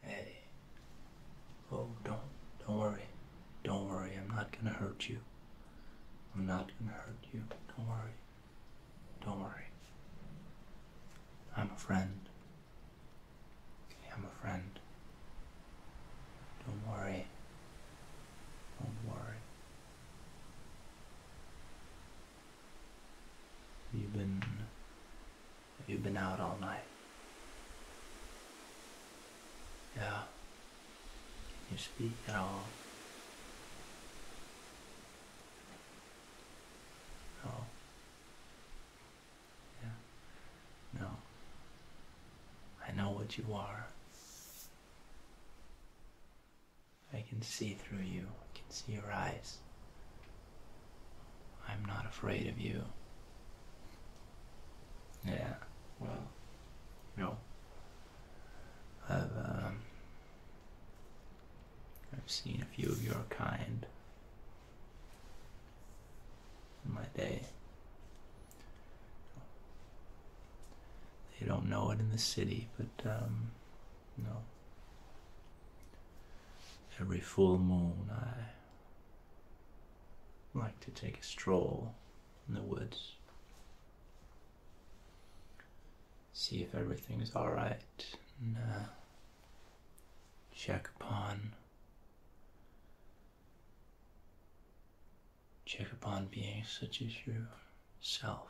Hey. Oh, don't don't worry. Don't worry. I'm not gonna hurt you. I'm not gonna hurt you. Don't worry. Don't worry. I'm a friend. Okay, I'm a friend. Don't worry. Don't worry. You've been have you been out all night? Yeah. Can you speak at all? No. Yeah. No. I know what you are. I can see through you. I can see your eyes. I'm not afraid of you. Yeah, well, no. I've, um, I've seen a few of your kind in my day. They don't know it in the city, but, um, no. Every full moon, I like to take a stroll in the woods. See if everything's alright and uh, check upon check upon being such as yourself.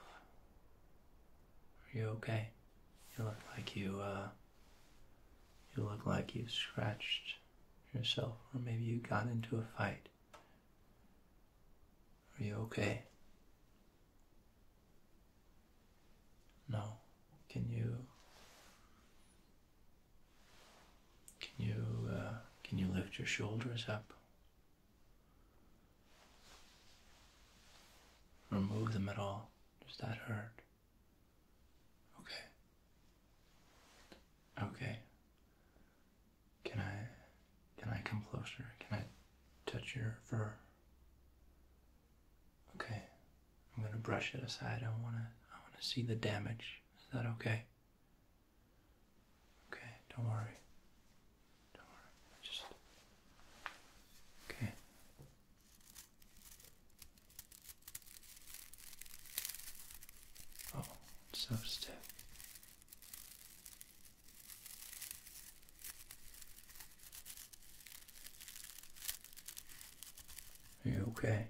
Are you okay? You look like you, uh, you look like you scratched yourself, or maybe you got into a fight. Are you okay? No. Can you, can you, uh, can you lift your shoulders up? Remove them at all. Does that hurt? Okay. Okay. Can I can I come closer? Can I touch your fur? Okay. I'm gonna brush it aside. I wanna I wanna see the damage. Is that okay? Okay, don't worry. Don't worry. Just Okay. Oh, so stiff. Are you okay?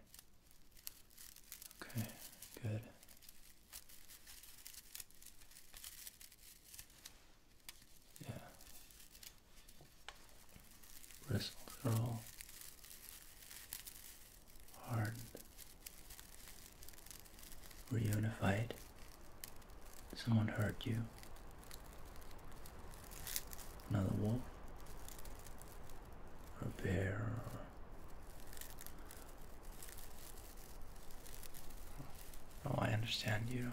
Okay, good. Yeah. Bristles are all hardened, reunified. Someone hurt you. Another wolf, or Oh, I understand you.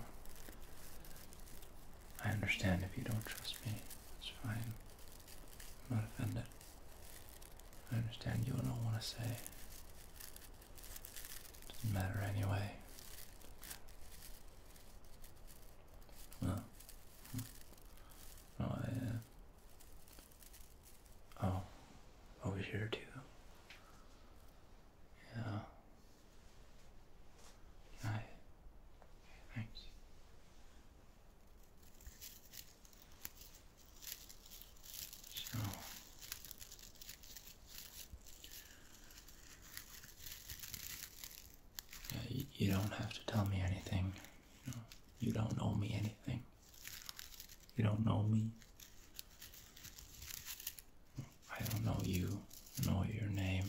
I understand if you don't trust me. It's fine. I'm not offended. I understand you don't want to say. Doesn't matter anyway. Well, hmm. no, I. Uh, oh, over here too. Yeah, Nice. thanks. So you, don't have to tell me anything. You, you don't owe me anything. You don't know me. I don't know you, know your name.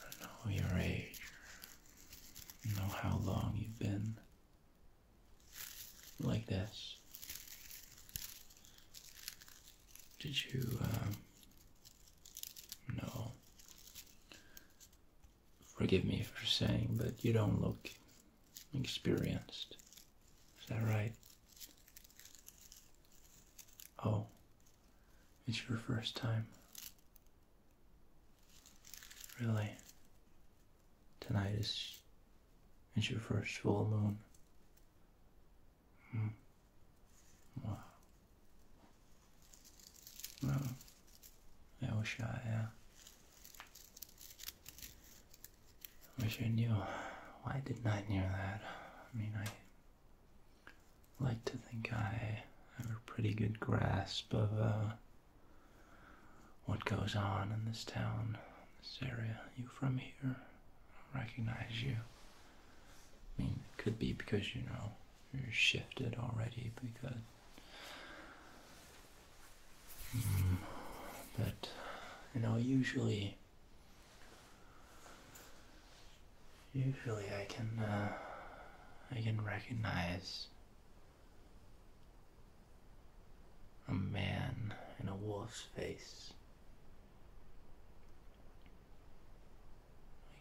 I know your age. I know how long you've been like this. Did you, uh, Forgive me for saying, but you don't look experienced. Is that right? Oh, it's your first time. Really? Tonight is it's your first full moon. Hmm. Wow. Well, I wish I, had. I Wish I knew. Why didn't I know that? I mean, I like to think I have a pretty good grasp of uh, what goes on in this town, this area. You from here? I recognize you. I mean, it could be because, you know, you're shifted already because... Mm, but, you know, usually Usually I can, uh, I can recognize a man in a wolf's face.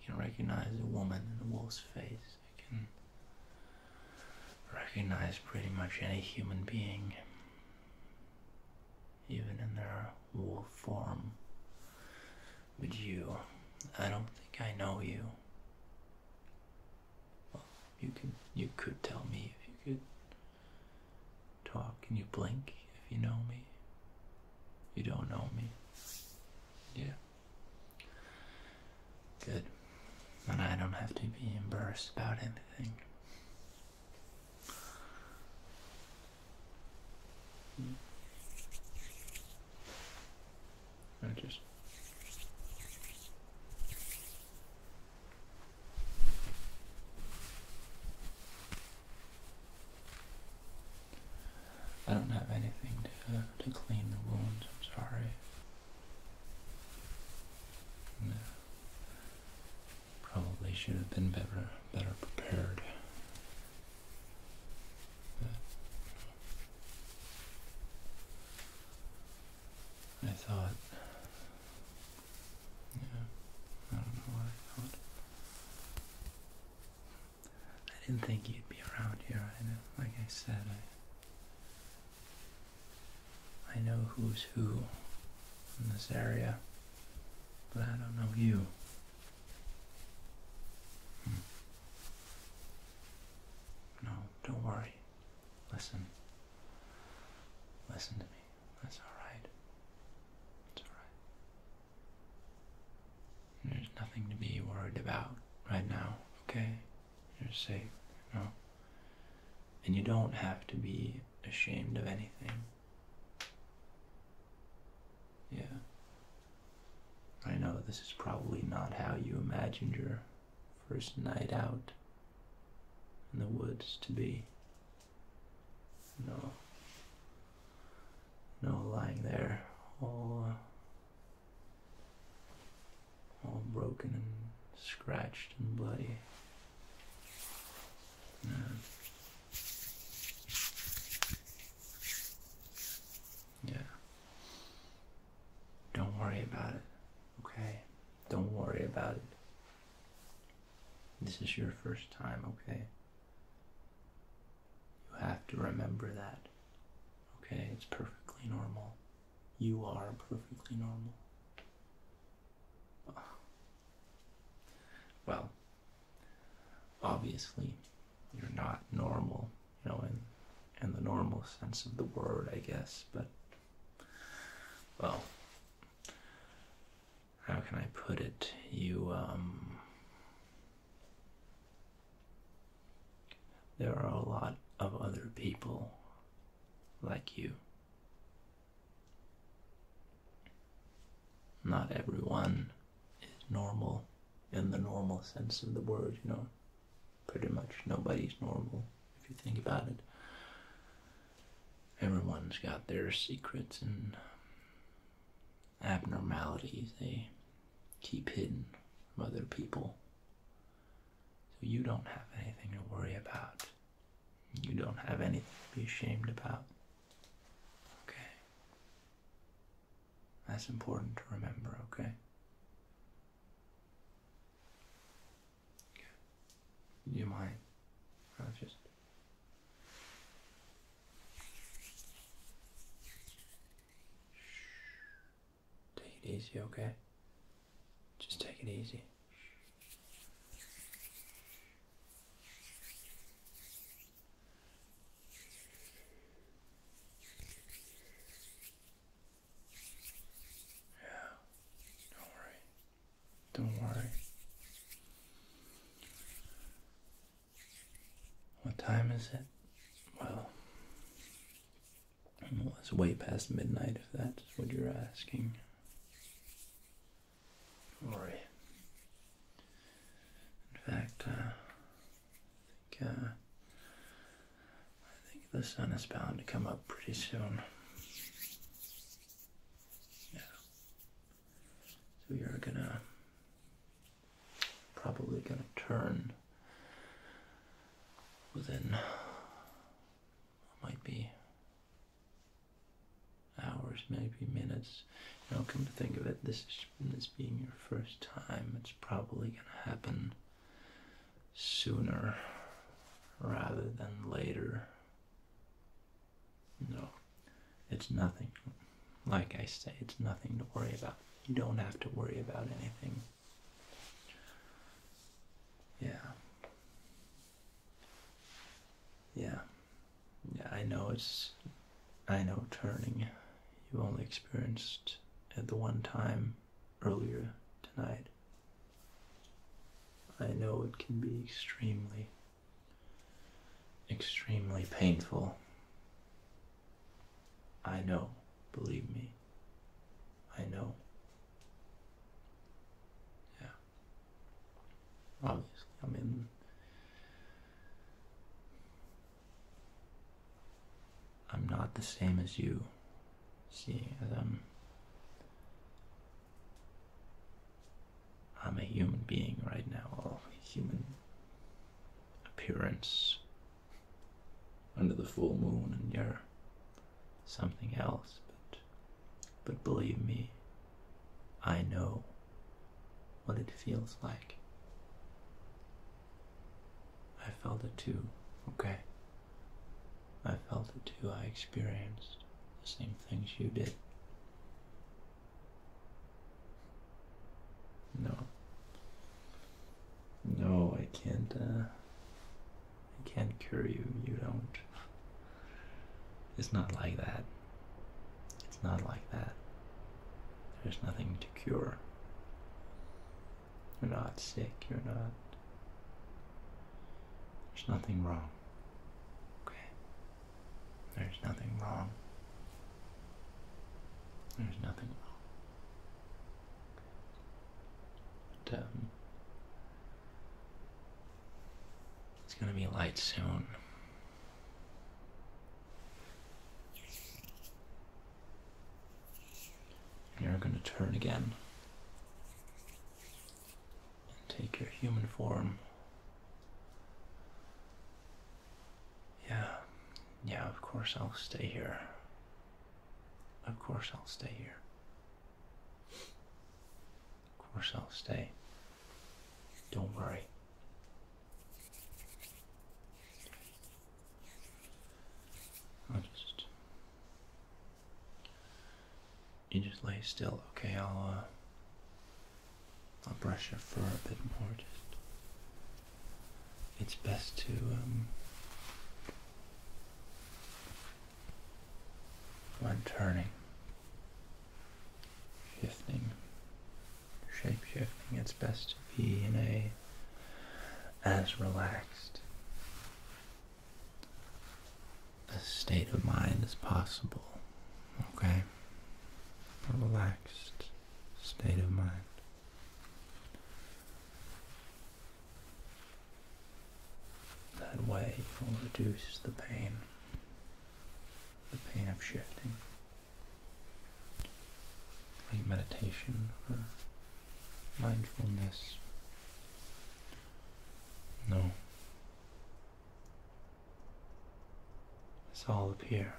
I can recognize a woman in a wolf's face. I can recognize pretty much any human being even in their wolf form. But you, I don't think I know you. you could you could tell me if you could talk. and you blink if you know me? You don't know me. Yeah. Good. And I don't have to be embarrassed about anything. I don't have anything to to clean the wounds. I'm sorry. Probably should have been better, better prepared. I thought, yeah, I don't know what I thought. I didn't think you'd be around here. like I said, I I know who's who in this area, but I don't know you. Hmm. No, don't worry. Listen. Listen to me. That's alright. It's alright. There's nothing to be worried about right now, okay? You're safe, you and you don't have to be ashamed of anything. Yeah. I know this is probably not how you imagined your first night out in the woods to be. No. No lying there all uh, all broken and scratched and bloody. Yeah. Don't worry about it, okay? Don't worry about it. This is your first time, okay? You have to remember that, okay? It's perfectly normal. You are perfectly normal. Well, obviously, you're not normal, you know, in, in the normal sense of the word, I guess, but, well, how can I put it? You, um, there are a lot of other people like you not everyone is normal in the normal sense of the word, you know. Pretty much nobody's normal if you think about it. Everyone's got their secrets and abnormalities they keep hidden from other people. So you don't have anything to worry about you don't have anything to be ashamed about. Okay? That's important to remember, okay? okay. Do you mind? i just. Take it easy, okay? Just take it easy. Yeah, don't worry. Don't worry. What time is it? Well, well, it's way past midnight if that's what you're asking. Don't worry. In fact, uh, uh, I, think, the sun is bound to come up pretty soon. Yeah. So you're gonna probably gonna turn within might be hours, maybe minutes. You know, come to think of it, this is this being your first time, it's probably gonna happen sooner rather than later. No, it's nothing. Like I say, it's nothing to worry about. You don't have to worry about anything. Yeah. Yeah. Yeah, I know it's. I know turning. You only experienced at the one time earlier tonight. I know it can be extremely, extremely painful. I know, believe me. I know. Yeah. Obviously, I mean, I'm not the same as you. See, as I'm, I'm a human being right now. Oh, human appearance under the full moon, and you're something else, but but believe me, I know what it feels like. I felt it too, okay? I felt it too. I experienced the same things you did. No. No, I can't, uh, I can't cure you, you don't. It's not like that. It's not like that. There's nothing to cure. You're not sick, you're not. There's nothing wrong. Okay? There's nothing wrong. There's nothing wrong. But, um, it's gonna be light soon. you're gonna turn again and take your human form. Yeah, yeah, of course I'll stay here. Of course I'll stay here. Of course, I'll stay. Don't worry. I'll just. You just lay still, okay? I'll, uh, I'll brush your fur a bit more. Just. It's best to, um, one turning, shifting, shape shifting, it's best to be in a as relaxed a state of mind as possible. Okay? relaxed state of mind. That way will reduce the pain, the pain of shifting. Like meditation or mindfulness. No. It's all up here.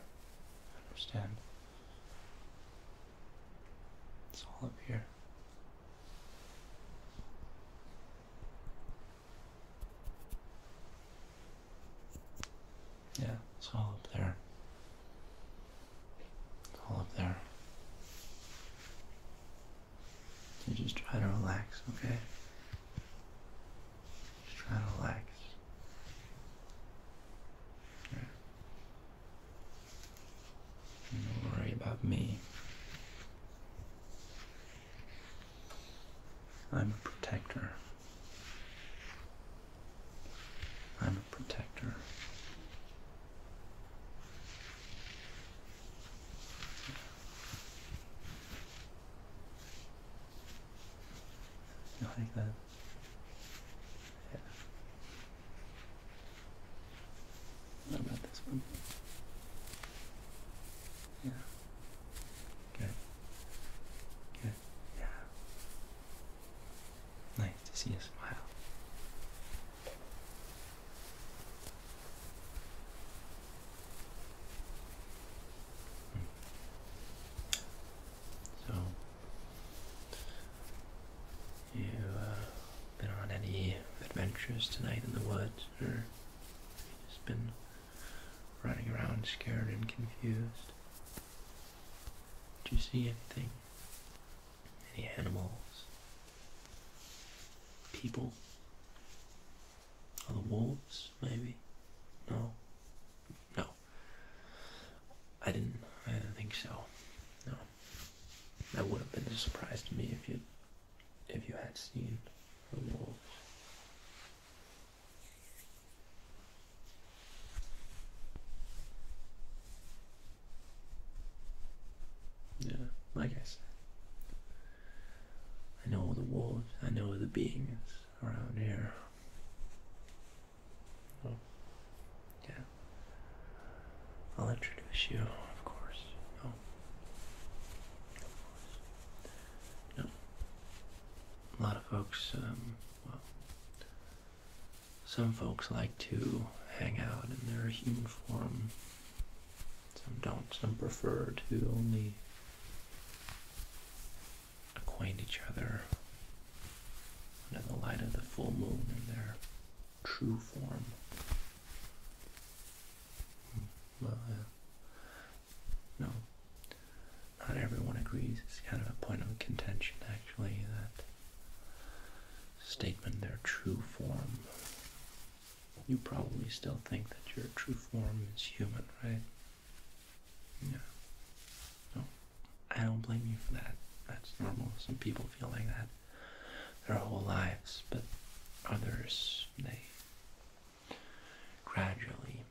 Understand? It's all up here. Yeah, it's all up there. It's all up there. You just try to relax, okay? Just try to relax. Yeah. Don't worry about me. I'm a protector. I'm a protector. You like that? Yeah. What about this one? Yeah. Okay. Good. Yeah. Nice to see you smile. Hmm. So you uh, been on any adventures tonight in the woods, or just been running around scared and confused? Did you see anything? Any animals? People? Are the wolves, maybe? No? No. I didn't. I didn't think so. No. That would have been a surprise to me if you if you had seen the wolves. Yeah, I guess. I know the wolves, I know the beings around here. Oh. Yeah. I'll introduce you, of course. Oh. Of course. No. A lot of folks, um, well, some folks like to hang out in their human form. Some don't. Some prefer to only acquaint each other under the light of the full moon in their true form. Well, uh, no, not everyone agrees. It's kind of a point of contention, actually, that statement, their true form. You probably still think that your true form is human, right? Yeah. No, I don't blame you for that. That's normal. Some people feel like that their whole lives, but others, they gradually,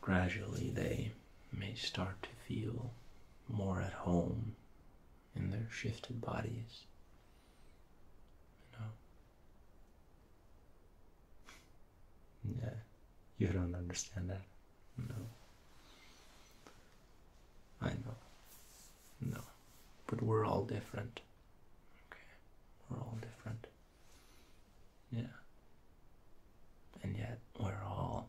gradually they may start to feel more at home in their shifted bodies. You Yeah, you don't understand that. No. I know. No. But we're all different. Okay. We're all different. Yeah. And yet we're all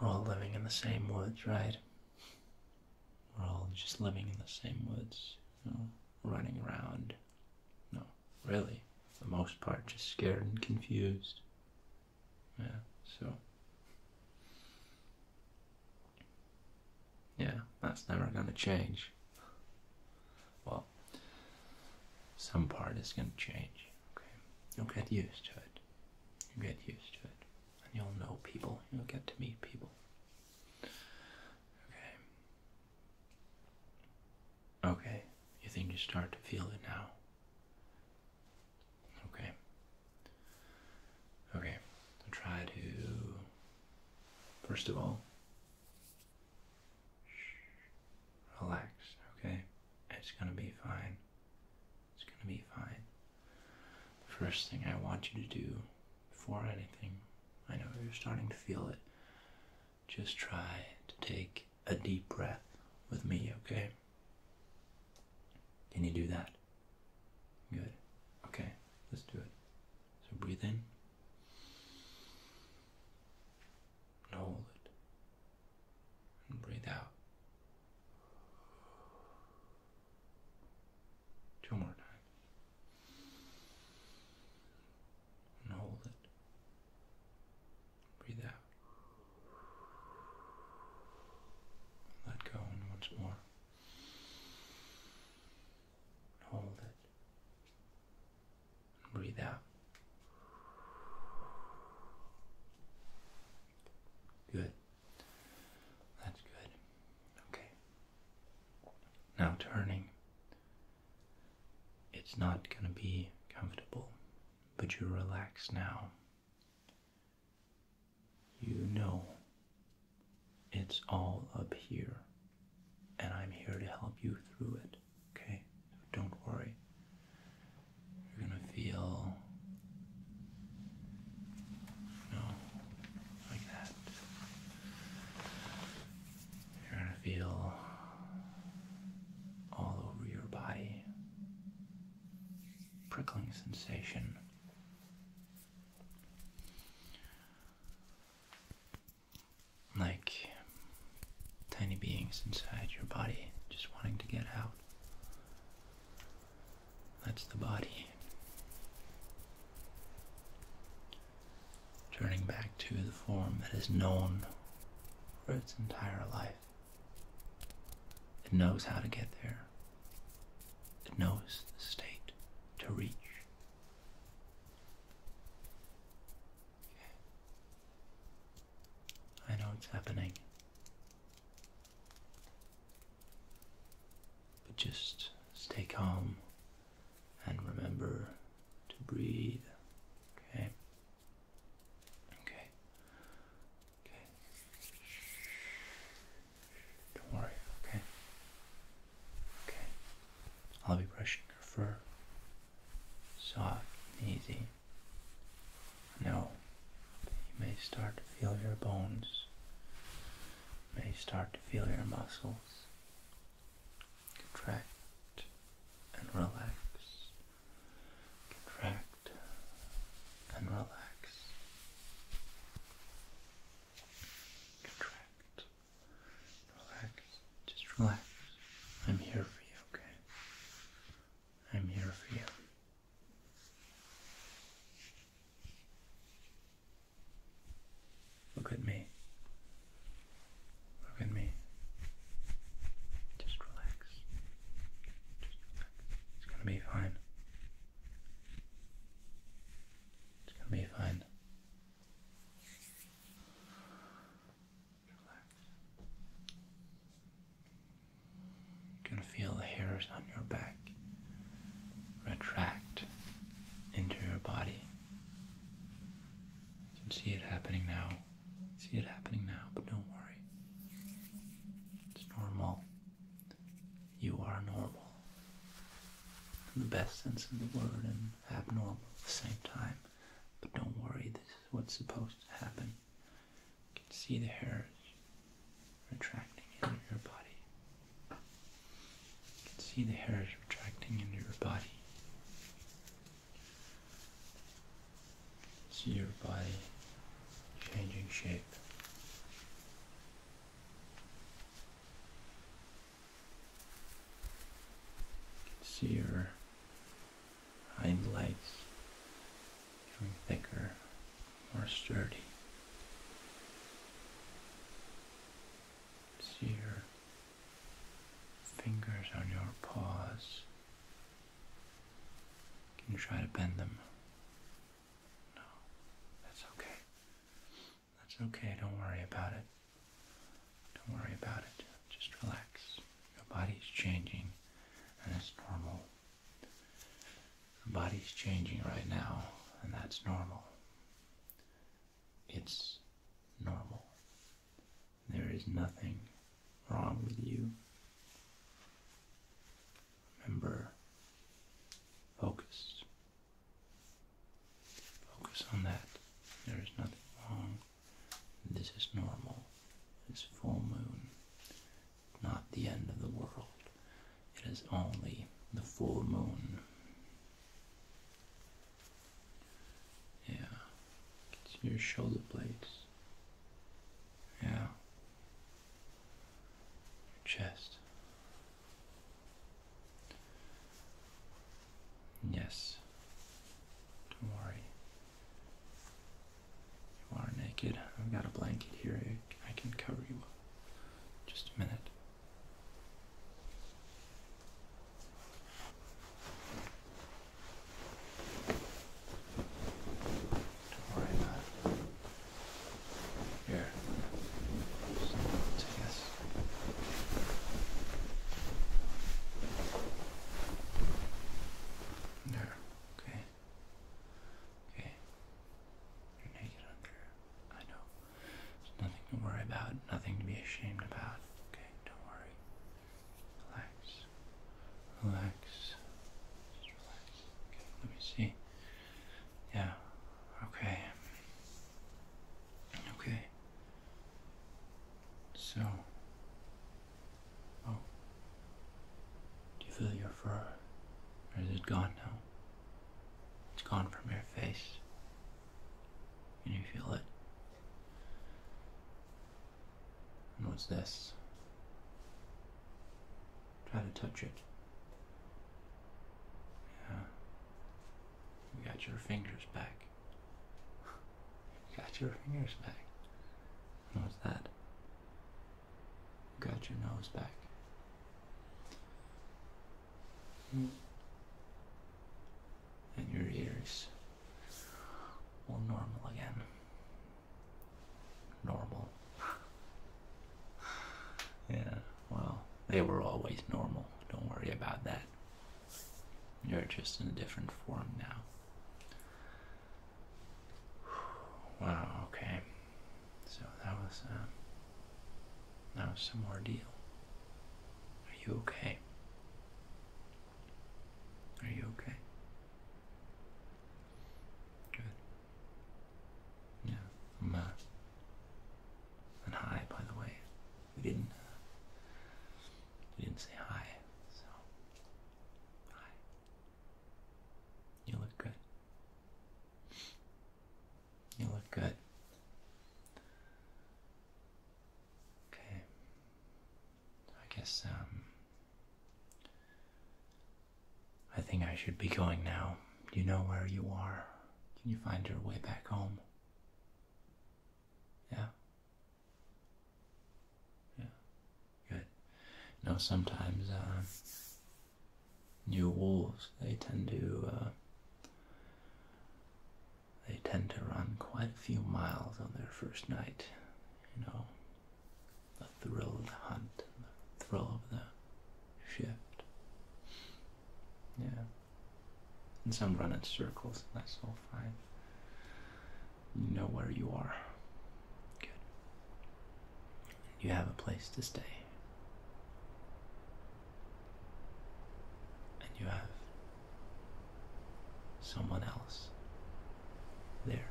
we're all living in the same woods, right? We're all just living in the same woods, you know, running around. No, really, for the most part, just scared and confused. Yeah, so. Yeah, that's never going to change. Well, some part is going to change. Okay, you'll get used to it. You get used to it, and you'll know people. You'll get to meet people. Okay. Okay, you think you start to feel it now? Okay. Okay, try to. First of all, relax, okay? It's gonna be fine. It's gonna be fine. The first thing I want you to do before anything, I know you're starting to feel it, just try to take a deep breath with me, okay? Can you do that? Good. Okay, let's do it. So breathe in. hold it. And breathe out. Two more times. And hold it. Breathe out. Let go once more. Hold it. Breathe out. Good. That's good. Okay. Now turning it's not going to be comfortable, but you relax now. You know it's all up here, and I'm here to help you through it, okay? So don't worry. You're going to feel. You like that. You're going to feel all over your body prickling sensation. Like tiny beings inside your body just wanting to get out. That's the body turning back to the form that is known for its entire life. It knows how to get there. It knows the state to reach. I know it's happening. But just stay calm and remember to breathe. Okay? Okay. Okay. Don't worry, okay? Okay. I'll be brushing your fur. Soft and easy. Now you may start to feel your bones. may start to feel your muscles contract and relax, contract and relax, contract, relax, just relax. I'm here for you, okay? I'm here for you. Look at me. Look at me. Just relax. It's gonna be fine. It's gonna be fine. Relax. You can feel the hairs on your back retract into your body you can see it happening now. See it happening now, but don't worry. It's normal. You are normal. In the best sense of the word and abnormal at the same time. But don't worry, this is what's supposed to happen. You can see the hairs retracting into your body. You can see the hairs retracting into your body see your body changing shape. You can see your hind legs becoming thicker, more sturdy. See your fingers on your paws. Can you try to bend them? No, that's okay. That's okay, don't worry about it. Don't worry about it. Just relax. Your body's changing, and it's normal. The body's changing right now, and that's normal. It's normal. There is nothing wrong with you. Remember, focus. Focus on that. There is nothing wrong. This is normal. This full moon. Not the end of the world. It is only the full moon. Yeah. your shoulder blades. Yeah. Your chest. Yes. Don't worry. You are naked. I've got a blanket here. I can cover you up. Just a minute. Don't worry about it. Here. Take There. Okay. Okay. You're naked under. I know nothing to worry about, nothing to be ashamed about. Okay, don't worry. Relax. Relax. Just relax. let me see. Yeah. Okay. Okay. So. Oh. Do you feel your fur? Or is it gone now? It's gone from your face. Can you feel it? what's this? Try to touch it. Yeah. You got your fingers back. got your fingers back. what's that? got your nose back and your ears will normal again. Normal. yeah, well, they were always normal. Don't worry about that. You're just in a different form now. Wow, okay. So that was, uh, that was some ordeal. Are you okay? Are you okay? Good. Yeah, I'm, uh, and hi, by the way. We didn't, uh, we didn't say hi, so, hi. You look good. You look good. Okay. I guess, um, I think I should be going now. You know where you are. Can you find your way back home? Yeah? Yeah. Good. You know, sometimes, uh, new wolves, they tend to, uh, they tend to run quite a few miles on their first night. You know, the thrill of the hunt, and the thrill of the shift. Yeah. And some run in circles, and that's all fine. You know where you are. Good. You have a place to stay and you have someone else there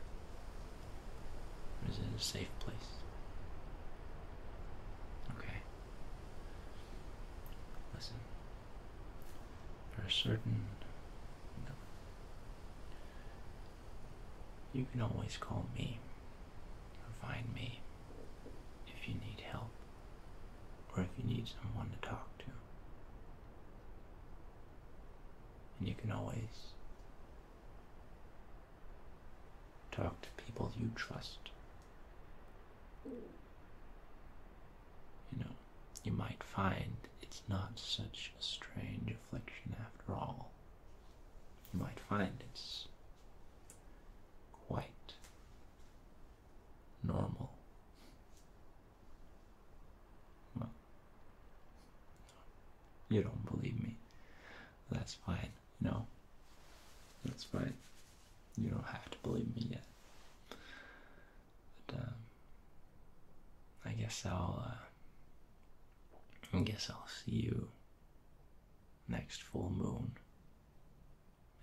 it is in a safe place okay listen there certain you can always call me or find me if you need help or if you need someone to talk to. And you can always talk to people you trust. You know, you might find it's not such a strange affliction after all. You might find it's quite normal. Well, you don't believe me. That's fine. No, that's fine. You don't have to believe me yet. Um, I guess I'll. Uh, I guess I'll see you next full moon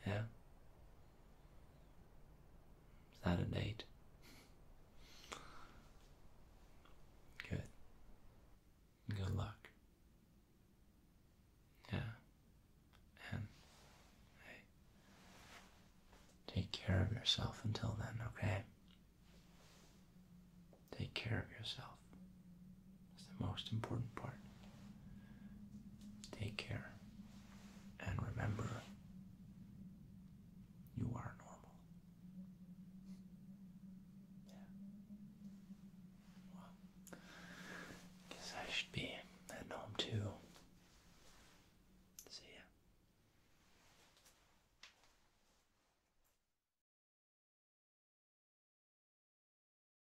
yeah. Is that a date? Good. Good luck. Yeah. And hey, take care of yourself until then, okay? Take care of yourself. That's the most important part. Take care and remember you are normal. Yeah. Well, guess I should be heading home too. See ya.